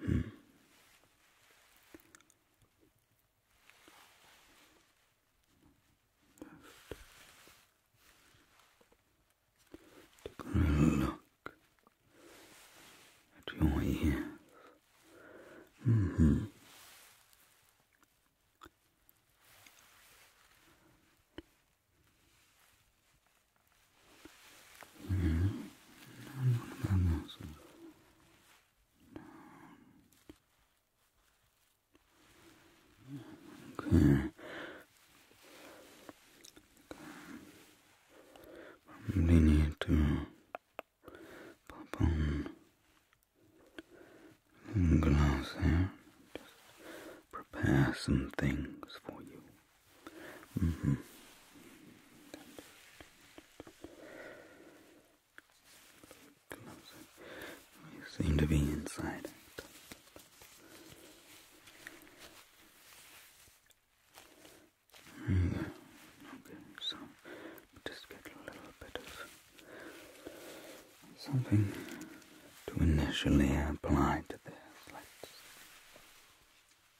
look at your ears. Mm hmm. No, Okay. okay. need to pop on some gloves here. prepare some things for you. We mm-hmm. seem to be inside. Mm Okay, so just get a little bit of something to initially apply to this.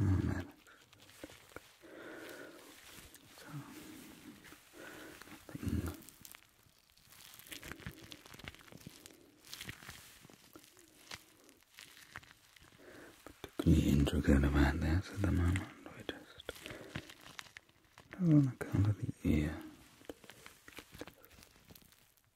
Amen. So, nothing. Particularly intricate about this at the moment. We just do on account of the ear.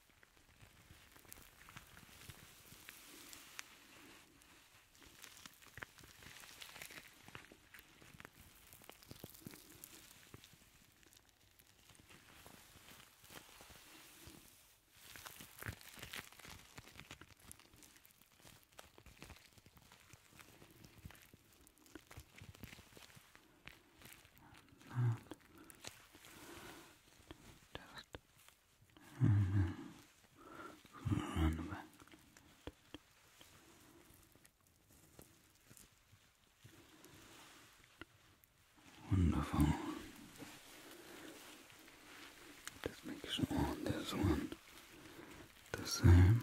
And just and Wonderful. Just make sure there's one the same.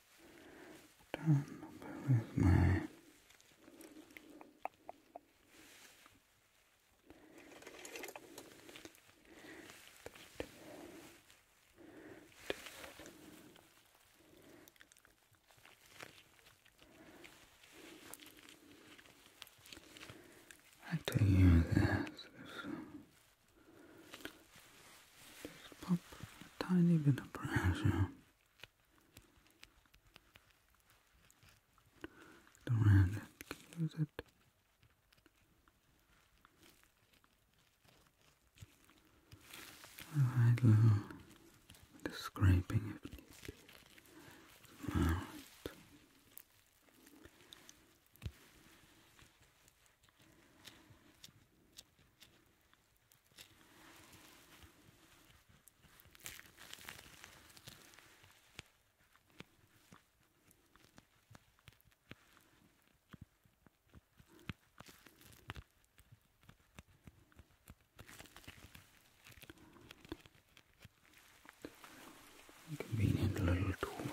done with my I have to use this. Just pop a tiny bit of pressure don't hand it, use it. Alright, little the scraping if need Alright. Convenient little tool.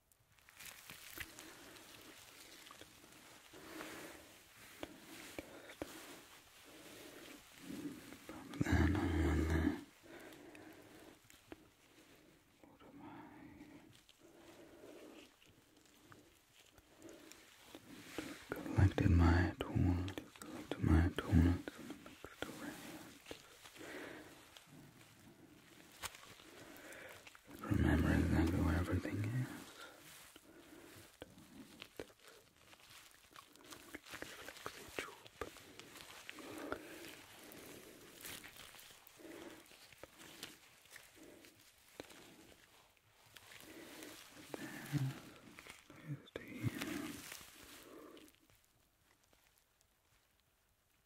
Pop that on What am I? Collected my tools, collected my tools in mixed array. Remember exactly where everything is.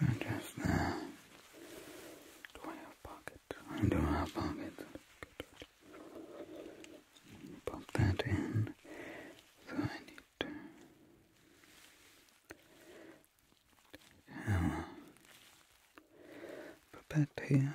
And then just there. Do I have pockets? I do have pockets. Pop that in. So I need to. Now, put that here.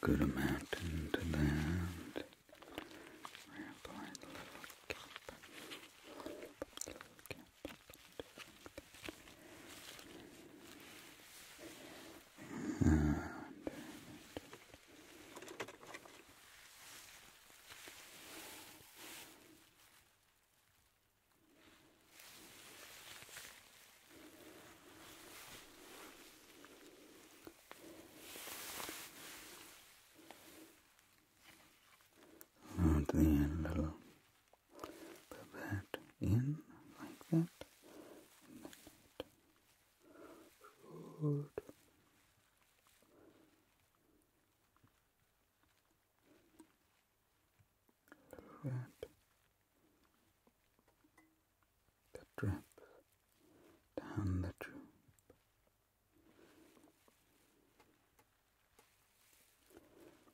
Good amount into that. We're applying a little cap. Little cap. And at the end, a little pivot in like that, and then it that that drops down the tube.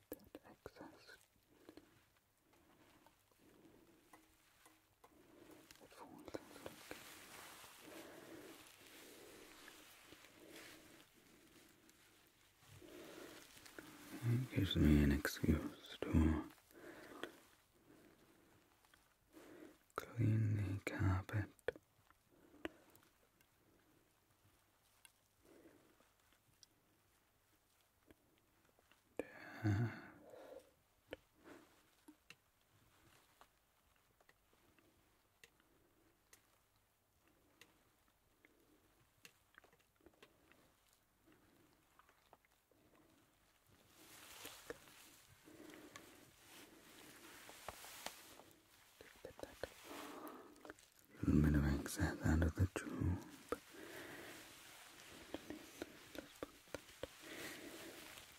That excess that falls stuck. It gives me an excuse to clean the carpet. Just a little bit of excess out of the tube.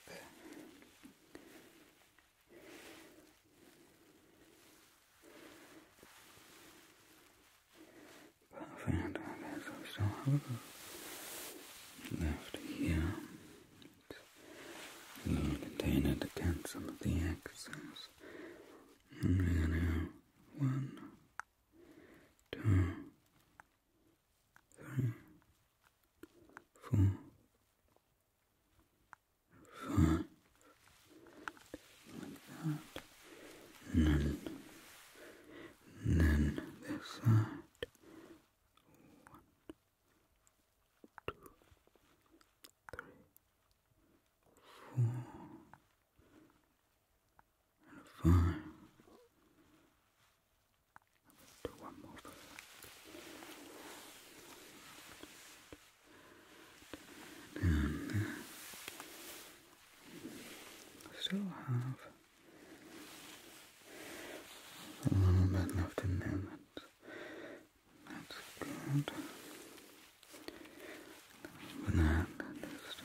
Good. Perfect. Okay, so we still have a left here. A little container to cancel the excess. And we have one, two, three, four, five that. And then, this side. One, two, three, four, and five. Do one more for that. Down there still have a little bit left in there. That's, good. But just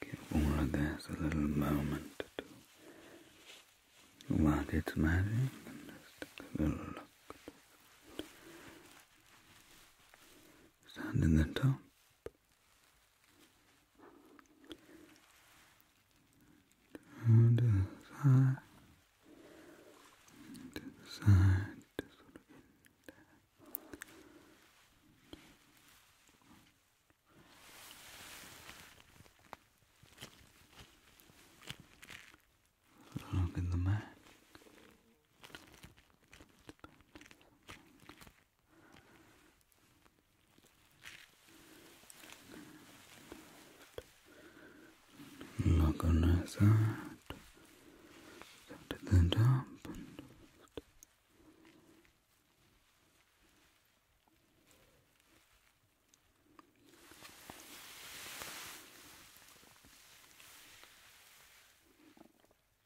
give all of this a little moment to what it's magic and just a little look. Stand in the top. Down to the side. To the side. Just sort in there. Look in the mat. Look on that side. Set that up. And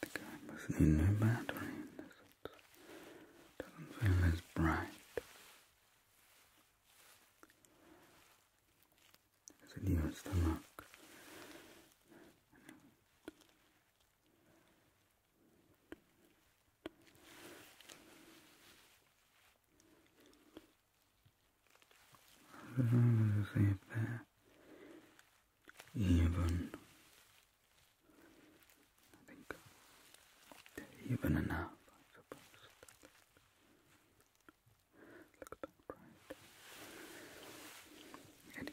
The camera's need no battery doesn't feel as bright. As it used to look as if they're even. I think they're even enough, I suppose. Look about right.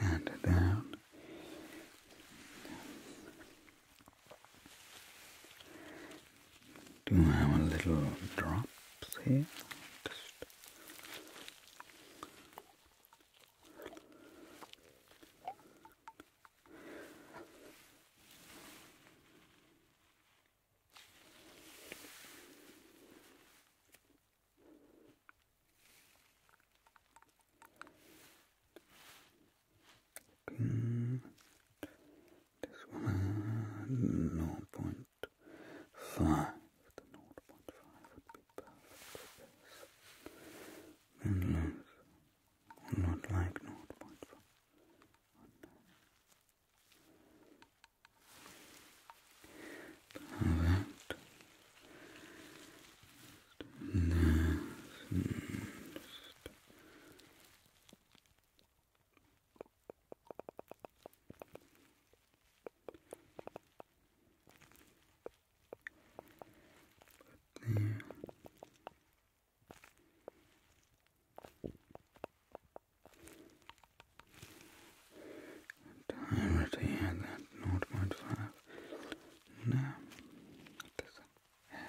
Anyway, and down. Do I have a little drops here? Mm. This one The 0.5 would be perfect for this. Then length, not like 0.5. Perfect. Just, just but, yeah. I that 0.5. No, it doesn't have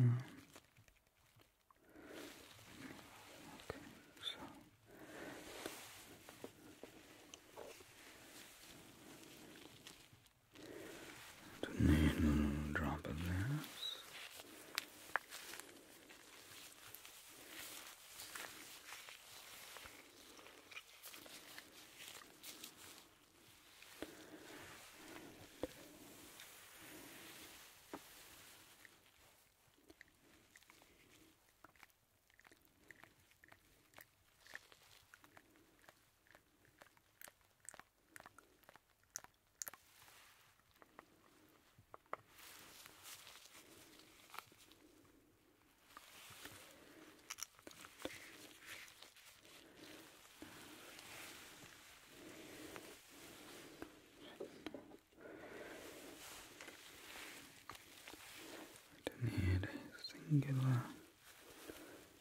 Mm. Okay, so don't need a little drop of this. I do a singular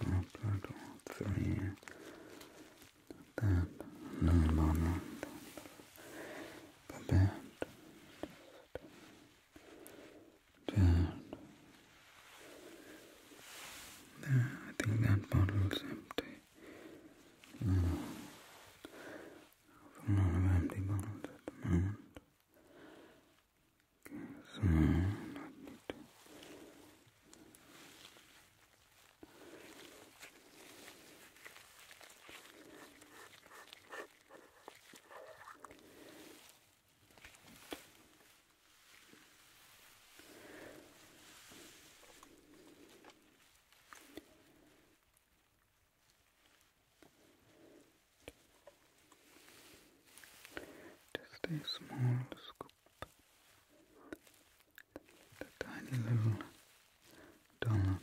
That three. That moment. Babette. I think that bottle's empty. No. I've run of empty bottles at the moment. Okay, so I need just a small scoop. The tiny little dollop.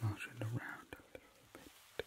Slosh it around a little bit. Good.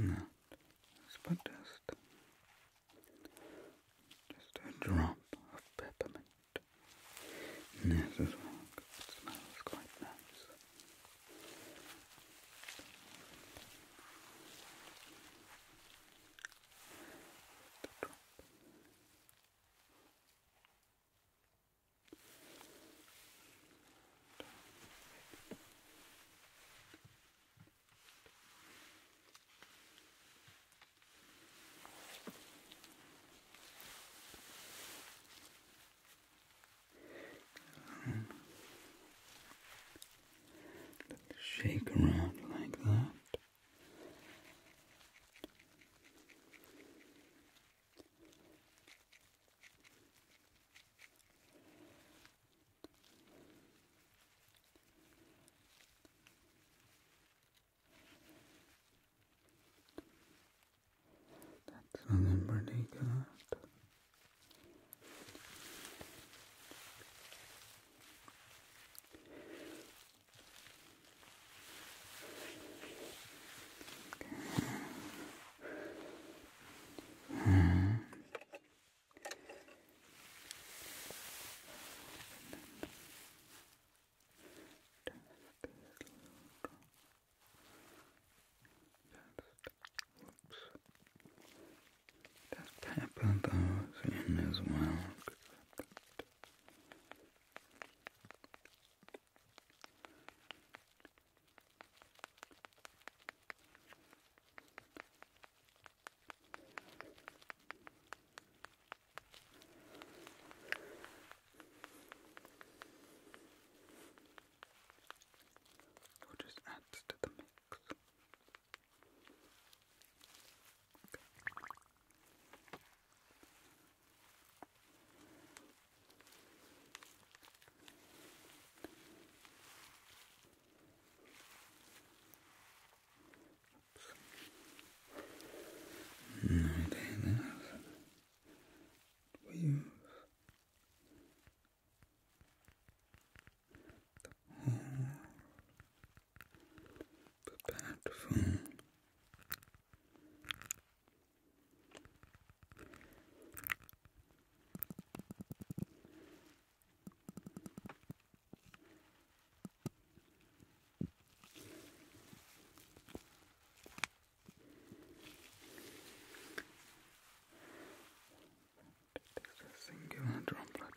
Now, it's just, just a drop of peppermint. And as well, it smells quite nice. The drop shake around like that. That's a number they Hmm. Just pepper those in as well. It just adds to the mix. No, they have weave prepared for it is a singular droplet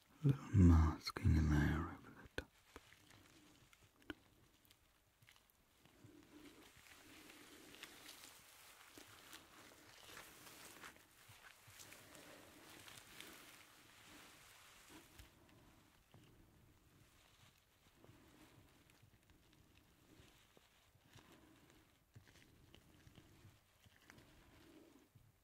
a little masking layer over the top.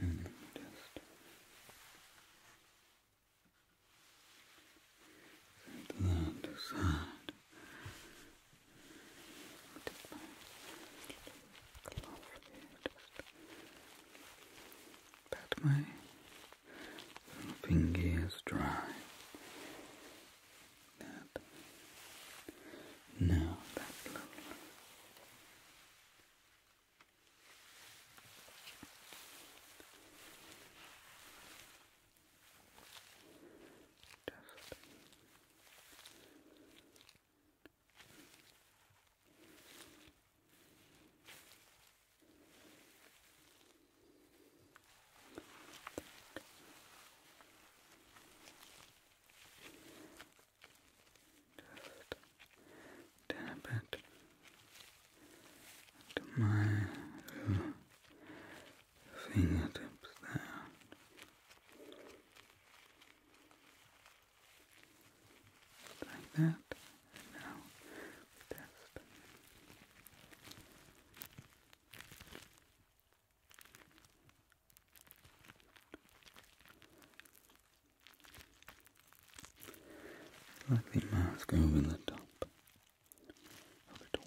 And just that aside. Take my glove here, just pat my fingers dry. That. Now that's lovely. Just just tap it to my fingertips there like that. And now test. Like the mask over the top of it all.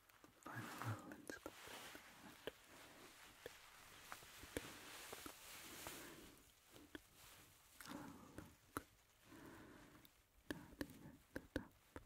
final rollings complete. Oh, look. Daddy at the top. Good.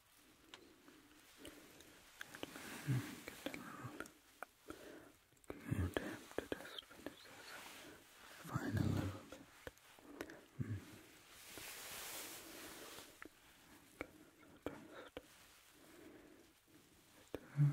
Let me get a little glue tip to just finish this fine a little bit. Mm. Okay,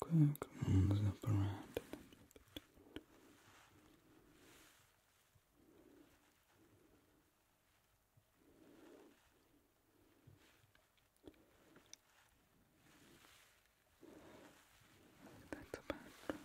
Quick rounds up around a little bit. That's about right.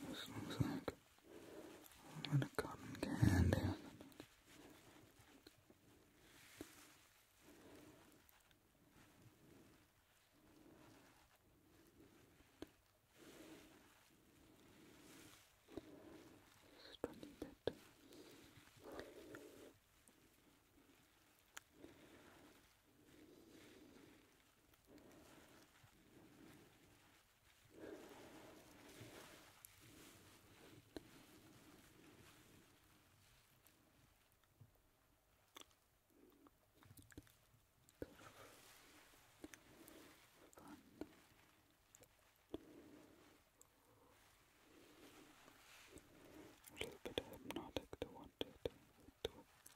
This looks like a little cotton candy. It. Fun. A little bit hypnotic to want it to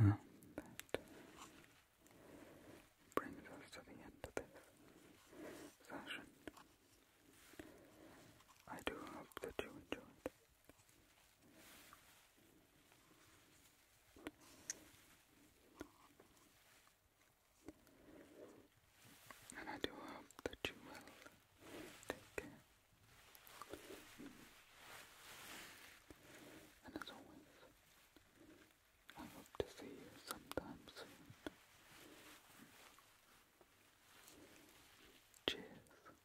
Well, that brings us to the end of this session. I do hope that you enjoyed and I do hope that you will take care. And as always, I hope to see you sometime soon. Cheers.